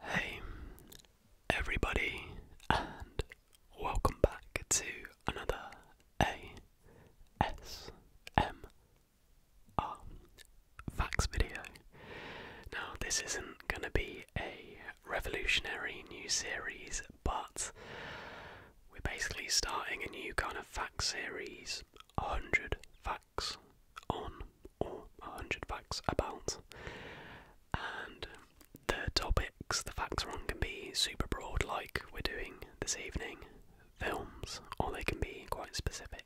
Hey everybody and welcome back to another ASMR facts video. Now this isn't going to be a revolutionary new series but we're basically starting a new kind of fact series 100 facts on or 100 facts about. And the topics, the facts are on, can be super broad, like we're doing this evening, films, or they can be quite specific.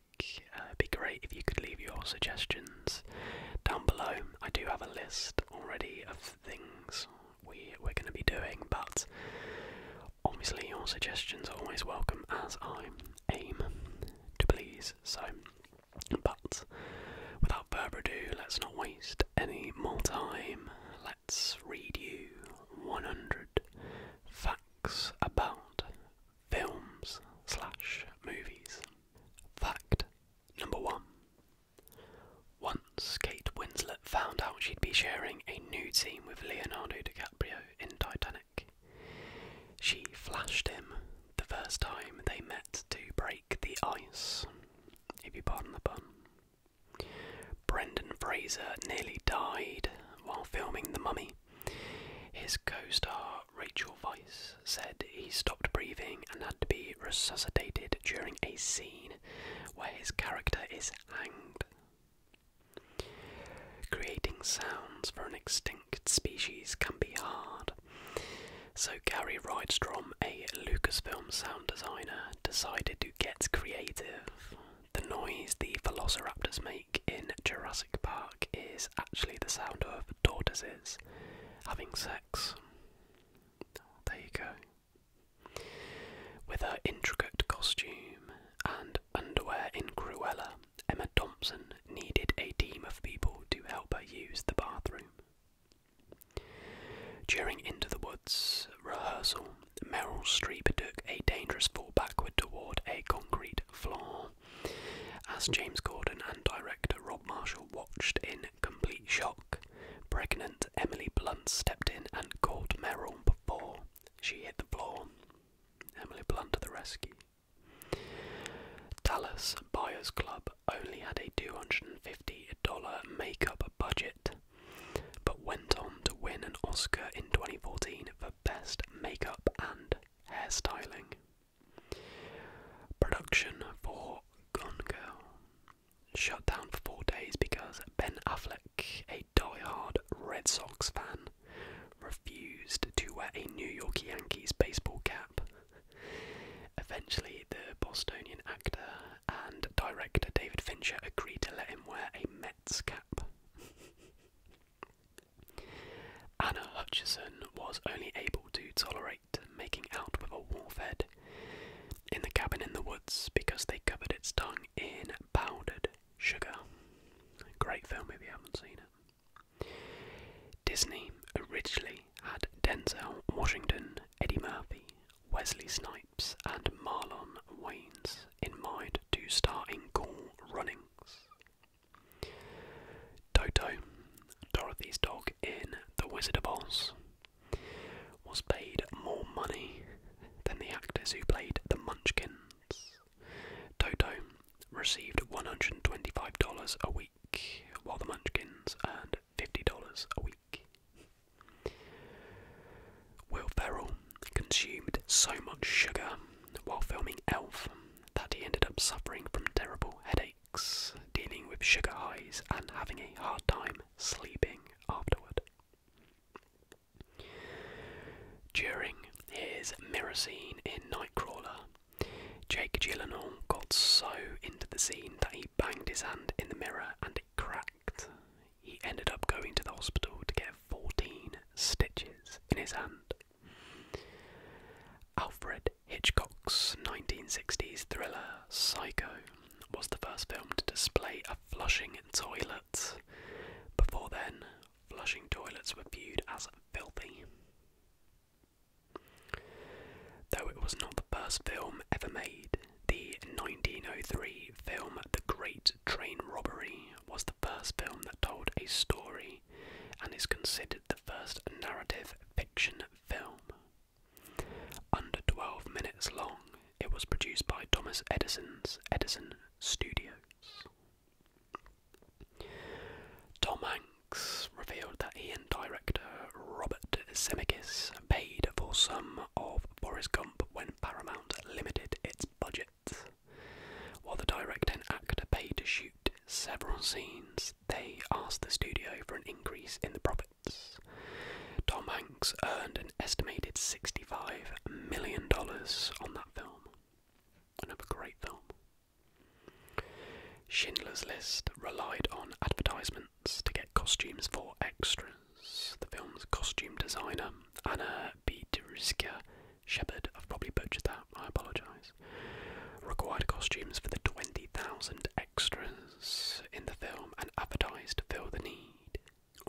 Uh, it'd be great if you could leave your suggestions down below. I do have a list already of things we, we're going to be doing, but obviously your suggestions are always welcome as I aim to please. So but without further ado, let's not waste any more time. Let's read you 100 facts about films slash movies. Fact number one. Once Kate Winslet found out she'd be sharing a new scene with Leonardo DiCaprio in Titanic, she flashed him the first time they met to break the ice, if you pardon the pun. Brendan Fraser nearly died while filming The Mummy. His co star Rachel Weisz said he stopped breathing and had to be resuscitated during a scene where his character is hanged. Creating sounds for an extinct species can be hard. So Gary Rydstrom, a Lucasfilm sound designer, decided to get creative. The noise the velociraptors make in Jurassic Park is actually the sound of tortoises having sex. There you go. With her intricate costume and underwear in Cruella, Emma Thompson needed a team of people to help her use the bathroom. During Into the Woods rehearsal, Meryl Streep took a dangerous fall backward toward a concrete floor. As James Gordon and director Rob Marshall watched in complete shock, pregnant Emily Blunt stepped in and caught Meryl before she hit the floor. Emily Blunt to the rescue. Dallas Buyers Club only had a $250 makeup budget, but went on to win an Oscar in 2014 for Best Makeup and Hairstyling. Production for Gone Girl shut down for four days because Ben Affleck, a die-hard Red Sox fan, refused to wear a New York Yankees baseball cap Eventually, the Bostonian actor and director David Fincher agreed to let him wear a Mets cap. Anna Hutchison was only able to tolerate making out with a wolf head in the cabin in the woods because they covered its tongue in powdered sugar. Great film if you haven't seen it. Disney originally had Denzel Washington, Eddie Murphy, Wesley Snipes, and Marlon Wayans in mind to star in Cool Runnings. Toto, Dorothy's dog in The Wizard of Oz, was paid more money than the actors who played the Munchkins. Toto received $125 a week while the Munchkins earned $50 a week. Will Ferrell consumed so much sugar while filming Elf that he ended up suffering from terrible headaches, dealing with sugar highs, and having a hard time sleeping afterward. During his mirror scene in Nightcrawler, Jake Gyllenhaal got so into the scene that he banged his hand in the mirror and it cracked. He ended up going to the hospital to get 14 stitches in his hand. Alfred Hitchcock's 1960s thriller Psycho was the first film to display a flushing toilet. Before then, flushing toilets were viewed as filthy. Though it was not the first film ever made, the 1903 film The Great Train Robbery was the first film that told a story and is considered the first narrative fiction film. Under 12 minutes long, it was produced by Thomas Edison's Edison Studios. Tom revealed that he and director Robert Zemeckis paid for some of Boris Gump when Paramount limited its budget. While the director and actor paid to shoot several scenes, they asked the studio for an increase in the profits. Tom Hanks earned an estimated $65 million on that film. Another great film. Schindler's List relied on advertisements to get costumes for extras. The film's costume designer, Anna Biedriska Shepherd, I've probably butchered that, I apologise, required costumes for the 20,000 extras in the film and advertised to fill the need.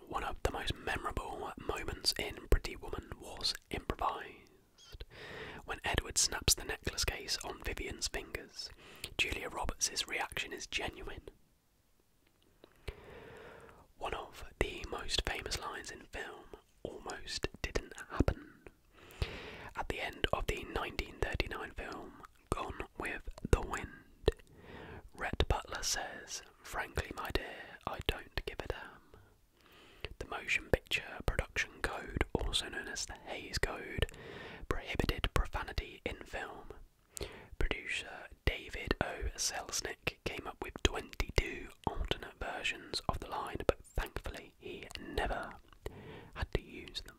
One of the most memorable moments in Pretty Woman was improvised. When Edward snaps the necklace case on Vivian's fingers, Julia Roberts' reaction is genuine. One of the most famous lines in film almost didn't happen. At the end of the 1939 film Gone with the Wind, Rhett Butler says, Frankly, my dear, I don't give a damn. The motion picture production Code, also known as the Hayes Code, prohibited profanity in film. Producer David O. Selznick came up with 22 alternate versions of the line, but thankfully he never had to use them.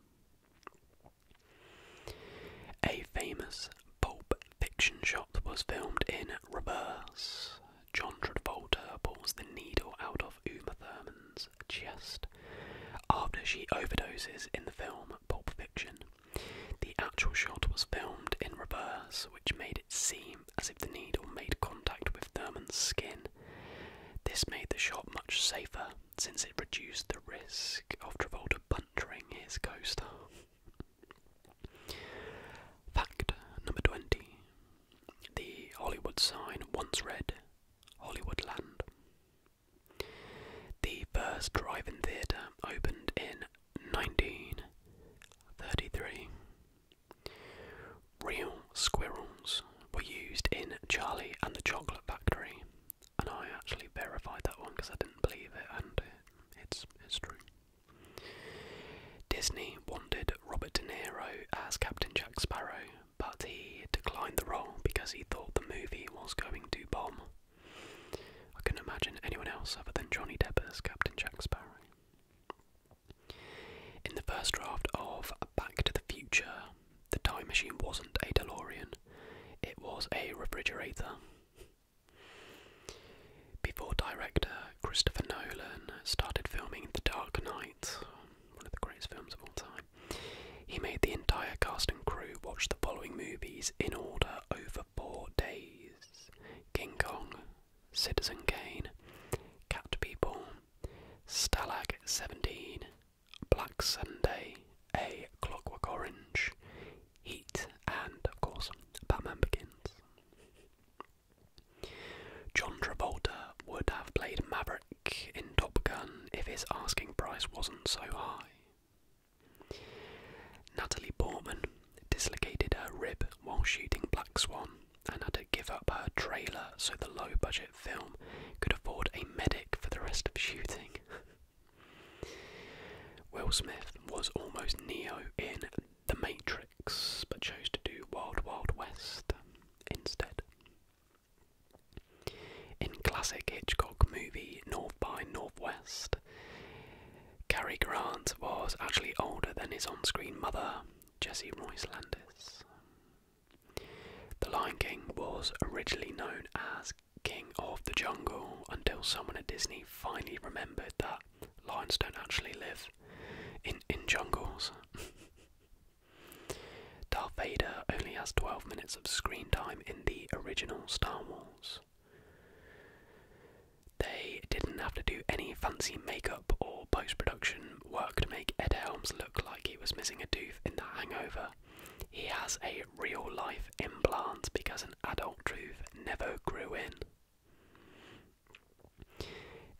A famous pulp fiction shop was filmed in reverse. John Travolta pulls the needle out of. Uma Thurman's chest after she overdoses in the film Pulp Fiction. The actual shot was filmed in reverse, which made it seem as if the needle made contact with Thurman's skin. This made the shot much safer since it reduced the risk of Travolta puncturing his co star. Fact number 20. The Hollywood sign once read Hollywoodland. The first drive-in theatre opened in 1933. Real squirrels were used in Charlie and the Chocolate Factory, and I actually verified that one because I didn't believe it, and it's it's true. Disney wanted Robert De Niro as Captain Jack Sparrow but he declined the role because he thought the movie was going to bomb. I can not imagine anyone else other than Johnny Depp as Captain Jack Sparrow. In the first draft of Back to the Future, the time machine wasn't a DeLorean, it was a refrigerator. Before director Christopher Nolan started filming The Dark Knight, one of the greatest films of all time. He made the entire cast and crew watch the following movies in order over four days King Kong, Citizen Kane, Cat People, Stalag 17, Black Sunday, A Clockwork Orange, Heat, and of course, Batman Begins. John Travolta would have played Maverick in Top Gun if his asking price wasn't so high. Natalie Portman dislocated her rib while shooting Black Swan and had to give up her trailer so the low budget film could afford a medic for the rest of shooting. Will Smith was almost Neo in The Matrix but chose to do Wild Wild West instead. In classic Hitchcock movie North by Northwest, Cary Grant was actually older than his on screen mother, Jessie Royce Landis. The Lion King was originally known as King of the Jungle until someone at Disney finally remembered that lions don't actually live in, in jungles. Darth Vader only has 12 minutes of screen time in the original Star Wars. They didn't have to do any fancy makeup or post production work to make Ed Helms look like he was missing a tooth in The Hangover. He has a real life implant because an adult tooth never grew in.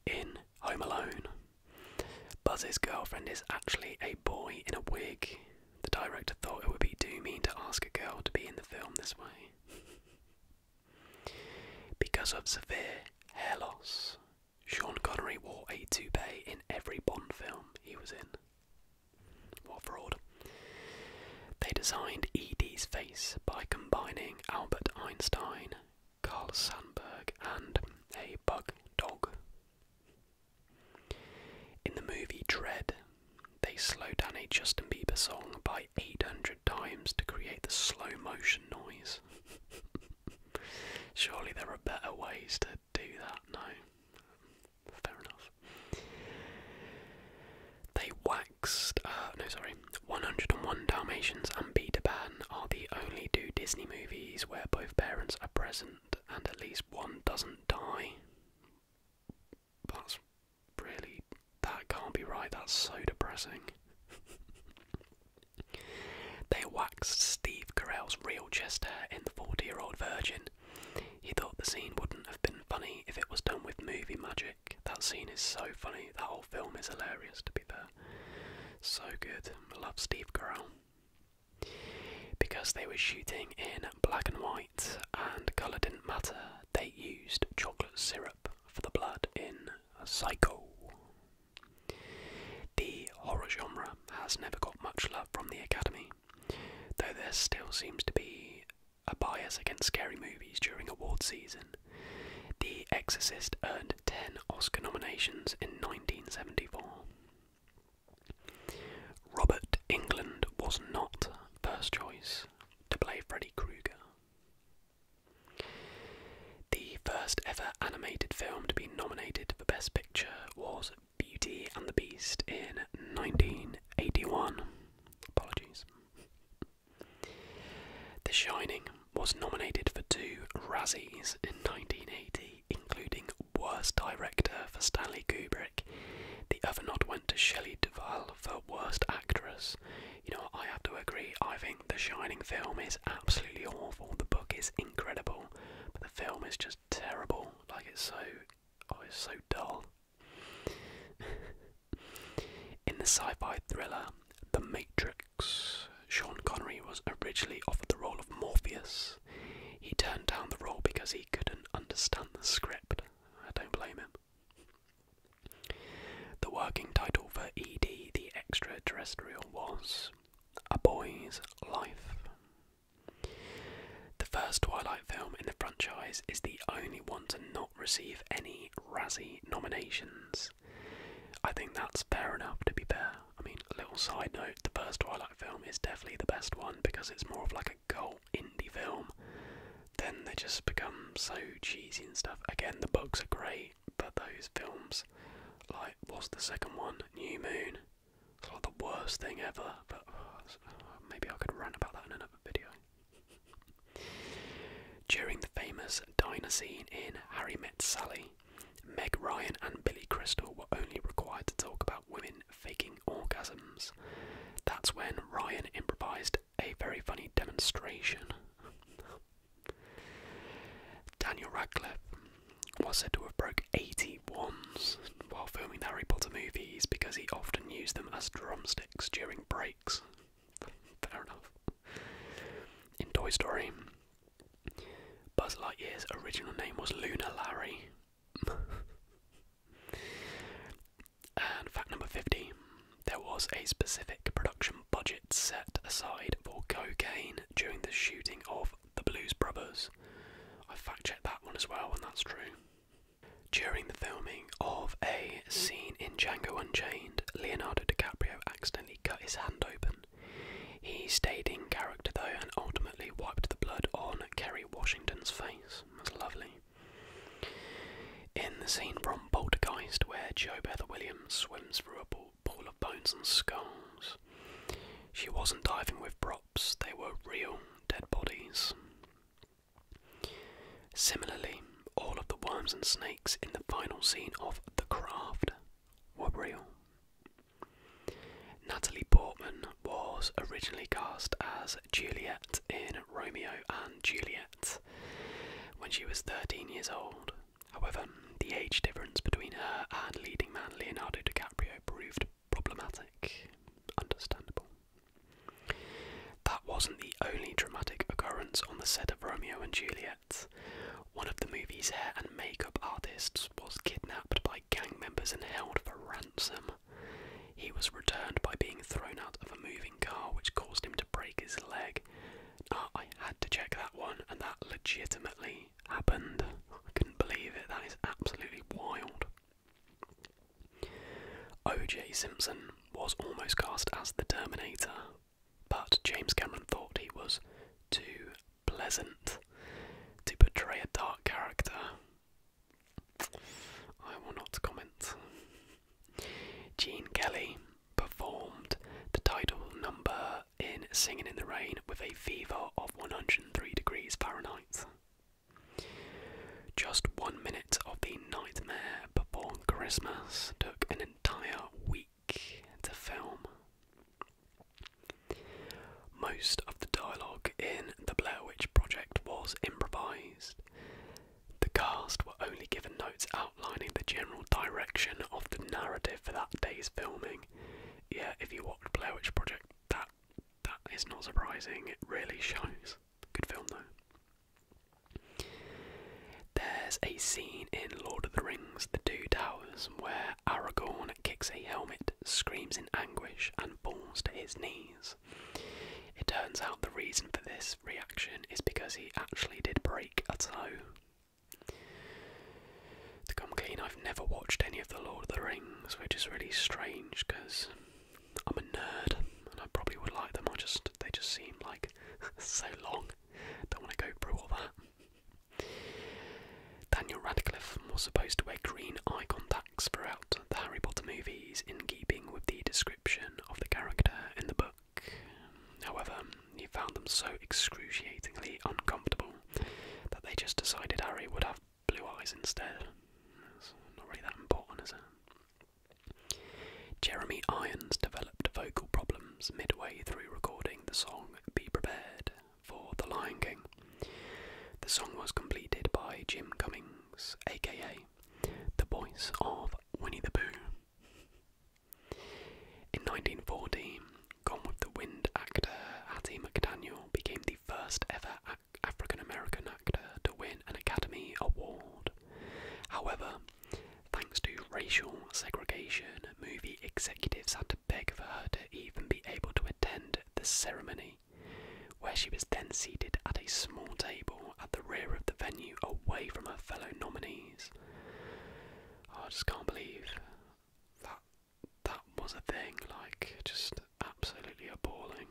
In Home Alone, Buzz's girlfriend is actually a boy in a wig. The director thought it would be too mean to ask a girl to be in the film this way. because of severe hair loss, Sean Connery wore a toupee in every Bond film he was in. What fraud? They designed Edie's face by combining Albert Einstein, Carl Sandburg, and a bug dog in the movie Dread, they slow down a Justin Bieber song by 800 times to create the slow motion noise. Surely there are better ways to do that, no? Fair enough. They waxed, uh, no, sorry, 101 Dalmatians and Peter Pan are the only two Disney movies where both parents are present and at least one doesn't die. That's really. That can't be right, that's so depressing. they waxed Steve Carell's real chest hair in The 40 Year Old Virgin. He thought the scene wouldn't have been funny if it was done with movie magic. That scene is so funny, The whole film is hilarious to be fair, So good. love Steve Carell. Because they were shooting in black and white and colour didn't matter, they used chocolate syrup for the blood in Psycho. The horror genre has never got much love from the Academy, though there still seems to be a bias against scary movies during award season. The Exorcist earned 10 Oscar nominations in 1974. Robert England was not first choice to play Freddy Krueger. The first ever animated film to be nominated for Best Picture was Beauty and the Beast in 1981. Apologies. The Shining was nominated for two Razzies in 1980 including Worst Director for Stanley Kubrick. The other nod went to Shelley Duvall for Worst Actress. You know, I have to agree, I think The Shining film is absolutely awful. The book is incredible, but the film is just terrible. Like, it's so. Oh, it's so dull. In the sci fi thriller The Matrix, Sean Connery was originally offered the role of Morpheus, he turned down the role because he couldn't understand the script. I don't blame him. The working title for ED the Extraterrestrial was A Boy's Life. The first Twilight film in the franchise is the only one to not receive any Razzie nominations. I think that's fair enough, to be fair. I mean, a little side note, the first Twilight film is definitely the best one because it's more of like a cult indie film. Then they just become so cheesy and stuff. Again, the books are great, but those films, like, what's the second one? New Moon. It's like the worst thing ever, but uh, maybe I could rant about that in another video. During the famous diner scene in Harry Met Sally, Meg Ryan and Billy Crystal were only required to talk about women faking orgasms. That's when Ryan improvised a very funny demonstration. Daniel Radcliffe was said to have broke 80 wands while filming the Harry Potter movies because he often used them as drumsticks during breaks. Fair enough. In Toy Story, Buzz Lightyear's original name was Luna Larry. and fact number 50 there was a specific production budget set aside for cocaine during the shooting of The Blues Brothers. I fact checked that one as well, and that's true. During the filming of a scene in Django Unchained, Leonardo DiCaprio accidentally cut his hand open. He stayed in character though and ultimately wiped the blood on Kerry Washington's face. That's lovely. In the scene from Poltergeist where Jo Beth Williams swims through a pool of bones and skulls, she wasn't diving with props, they were real dead bodies. Similarly, all of the worms and snakes in the final scene of The Craft were Natalie Portman was originally cast as Juliet in Romeo and Juliet when she was 13 years old. However, the age difference between her and leading man Leonardo DiCaprio proved problematic. Understandable. That wasn't the only dramatic occurrence on the set of Romeo and Juliet. One of the movie's hair and makeup artists was kidnapped by gang members and held for ransom. He was returned by being thrown out of a moving car, which caused him to break his leg. I had to check that one, and that legitimately happened. I couldn't believe it. That is absolutely wild. O.J. Simpson was almost cast as the Terminator, but James Cameron thought he was too pleasant to portray a dark character. I will not comment. Gene Kelly performed the title number in Singing in the Rain with a fever of 103 degrees Fahrenheit. Just one minute of the nightmare before Christmas took an entire week to film. Most of the dialogue in The Blair Witch Project was improvised. The cast were only given notes outlining the general direction of the narrative for that day's filming. Yeah, if you watch Blair Witch Project, that that is not surprising. It really shows. Good film though. There's a scene in Lord of the Rings: The Two Towers where Aragorn kicks a helmet, screams in anguish, and falls to his knees. It turns out the reason for this reaction is because he actually did break a toe. To come clean, I've never watched any of The Lord of the Rings, which is really strange because I'm a nerd and I probably would like them. I just they just seem like so long. Don't want to go through all that. Daniel Radcliffe was supposed to wear green eye contacts throughout the Harry Potter movies, in keeping with the description of the character in the book. However, he found them so excruciatingly uncomfortable that they just decided Harry would have blue eyes instead. not really that important, is it? Jeremy Irons developed vocal problems midway through recording the song Be Prepared, for The Lion King. The song was completed by Jim Cummings, aka the voice of Winnie the Pooh. In 1940, Gone with the Wind actor Hattie McDaniel became the first ever African American actor to win an Academy Award. However, thanks to racial segregation, movie executives had beg for her to even be able to attend the ceremony, where she was then seated at a small table at the rear of the venue away from her fellow nominees. I just can't believe that that was a thing, like, just absolutely appalling.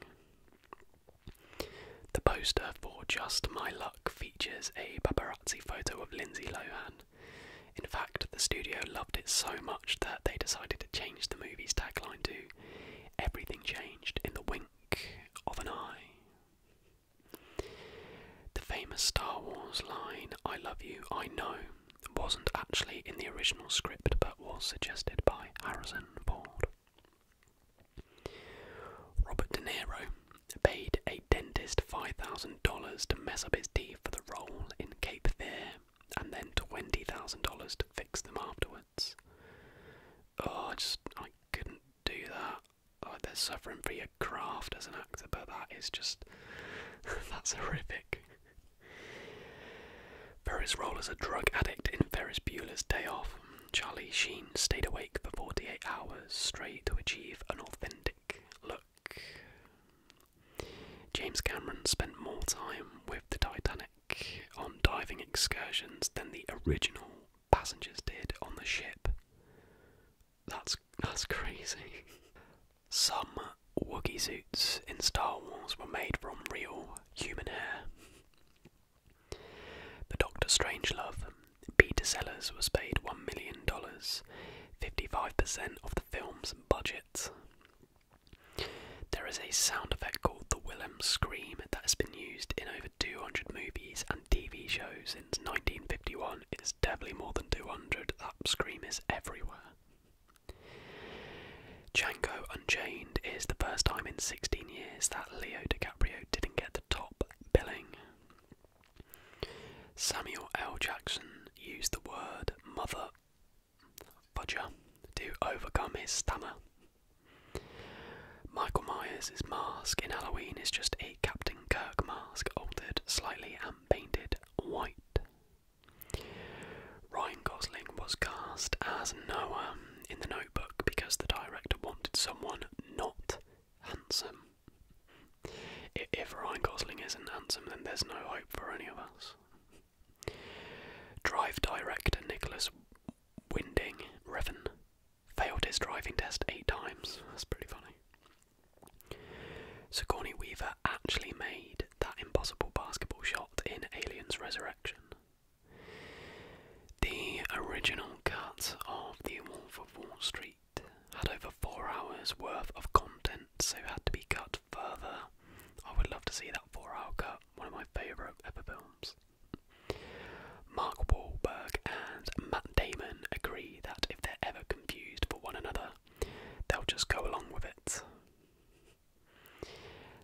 The poster for Just My Luck features a paparazzi photo of Lindsay Lohan. In fact, the studio loved it so much that they decided to change the movie's tagline to Everything Changed in the Wink of an Eye. The famous Star Wars line, I love you, I know, wasn't actually in the original script but was suggested by Harrison Ford. Robert De Niro paid a dentist $5,000 to mess up his teeth for the role in Cape Fear and then twenty thousand dollars to fix them afterwards. Oh, I just I couldn't do that. Oh, they're suffering for your craft as an actor, but that is just that's horrific. Ferris rolled as a drug addict in Ferris Bueller's Day Off. Charlie Sheen stayed awake for 48 hours straight to achieve an authentic look. James Cameron spent more time with the Titanic on diving excursions than the original passengers did on the ship. That's that's crazy. Some Wookiee suits in Star Wars were made from real human hair. The Doctor Strangelove, Peter Sellers was paid $1 million, 55% of the film's budget. There is a sound effect called the Willem Scream that has been used in over 200 movies and TV shows since 1951. It's definitely more than 200. That scream is everywhere. Django Unchained is the first time in 16 years that Leo DiCaprio didn't get the top billing. Samuel L. Jackson used the word mother Budger to overcome his stammer. Michael Myers' mask in Halloween is just a Captain Kirk mask, altered slightly and painted white. Ryan Gosling was cast as Noah in the notebook because the director wanted someone not handsome. If Ryan Gosling isn't handsome, then there's no hope for any of us. Drive director Nicholas Winding Revan failed his driving test eight times. That's pretty funny. Sigourney Weaver actually made that impossible basketball shot in Aliens Resurrection. The original cut of The Wolf of Wall Street had over four hours worth of content, so had to be cut further. I would love to see that four-hour cut, one of my favourite ever films. Mark Wahlberg and Matt Damon agree that if they're ever confused for one another, they'll just go along with it.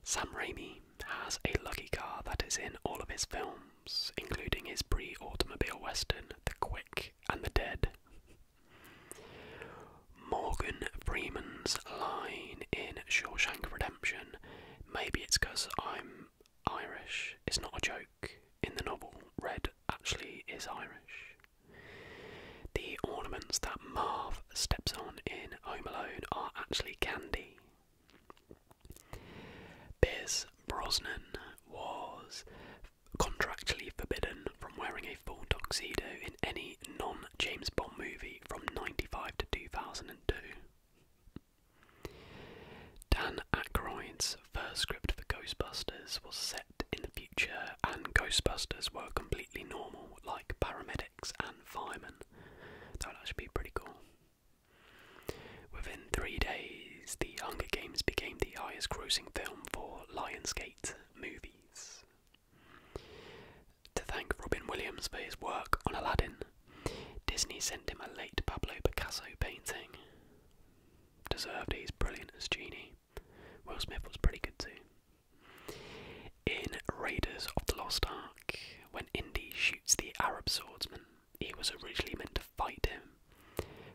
Sam Raimi has a lucky car that is in all of his films, including his pre automobile western, The Quick and the Dead. Morgan Freeman's line in Shawshank Redemption, maybe it's because I'm Irish, it's not a joke. In the novel, red actually is Irish. The ornaments that Marv steps on in Home Alone are actually candy. Biz Brosnan was contractually forbidden from wearing a full tuxedo in any non James Bond movie from 95 to 2002. Dan Aykroyd's first script for Ghostbusters was set in the future, and Ghostbusters were completely normal, like paramedics and firemen. That would actually be pretty cool. Within three days, The Hunger Games became the highest grossing film for Lionsgate movies. To thank Robin Williams for his work on Aladdin, Disney sent him a late Pablo Picasso painting. Deserved he's brilliant as Genie. Will Smith was pretty good too. In Raiders of the Lost Ark, when Indy shoots the Arab swordsman, he was originally meant to fight him,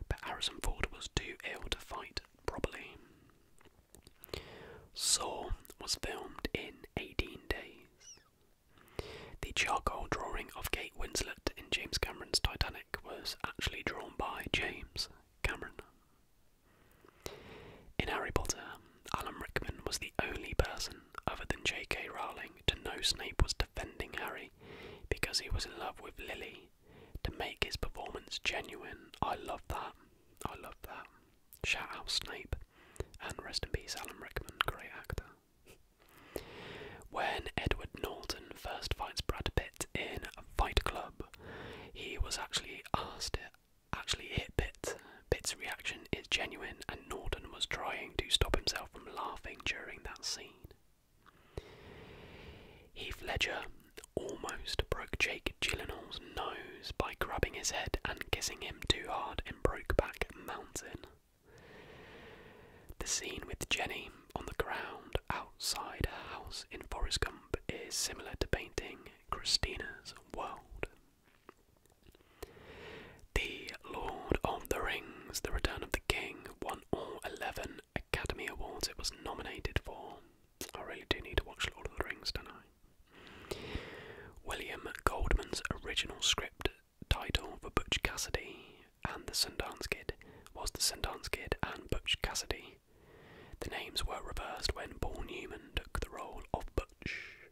but Harrison Ford was too ill to fight properly. Saw was filmed in 18 days. The charcoal drawing of Kate Winslet in James Cameron's Titanic was actually drawn by James Cameron. In Harry Potter, Alan Rickman was the only person other than J.K. Rowling to know Snape was defending Harry because he was in love with Lily to make his performance genuine. I love that. I love that. Shout out Snape, and rest in peace Alan Rickman, great actor. When Edward Norton first fights Brad Pitt in Fight Club, he was actually asked actually hit Pitt. Pitt's reaction is genuine, and Norton was trying to stop himself from laughing during that scene. Heath Ledger almost broke Jake Gyllenhaal's nose by grabbing his head and kissing him too hard in Brokeback Mountain. The scene with Jenny on the ground outside a house in Forest Gump is similar to painting Christina's World. The Lord of the Rings, The Return of the King, won all 11 Academy Awards it was nominated for. I really do need to watch Lord of the Rings, don't I? William Goldman's original script title for Butch Cassidy and the Sundance Kid was The Sundance Kid and Butch Cassidy. The names were reversed when Paul Newman took the role of Butch.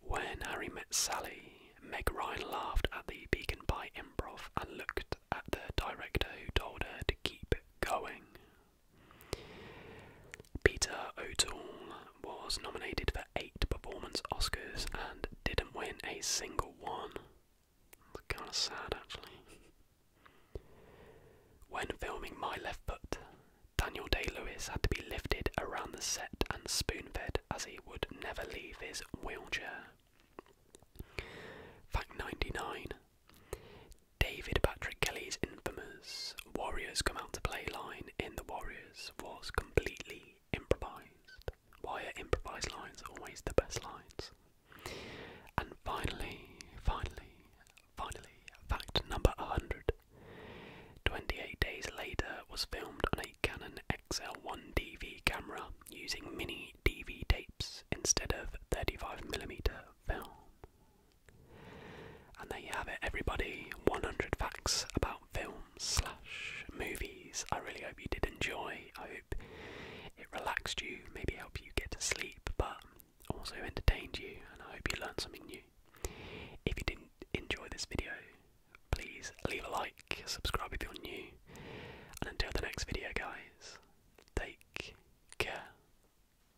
When Harry met Sally, Meg Ryan laughed at the Beacon Pie improv and looked at the director who told her to keep going. Peter O'Toole was nominated for eight performance Oscars and didn't win a single one. kind of sad, actually. When filming My Left Foot, Daniel Day Lewis had to be lifted around the set and spoon fed as he would never leave his wheelchair. Fact 99 David Patrick Kelly's infamous Warriors come out to play line in The Warriors was completely improvised. Why are improvised lines always the best lines? And finally, finally, finally, fact number 100. 28 days later was filmed on a Canon XL1 DV camera using mini DV tapes instead of 35mm film. And there you have it, everybody. 100 facts about films slash movies. I really hope you did enjoy. I hope it relaxed you, maybe helped you get to sleep, but also entertained you. And I hope you learned something new. If you didn't enjoy this video, please leave a like, subscribe if you're new. And until the next video, guys, take care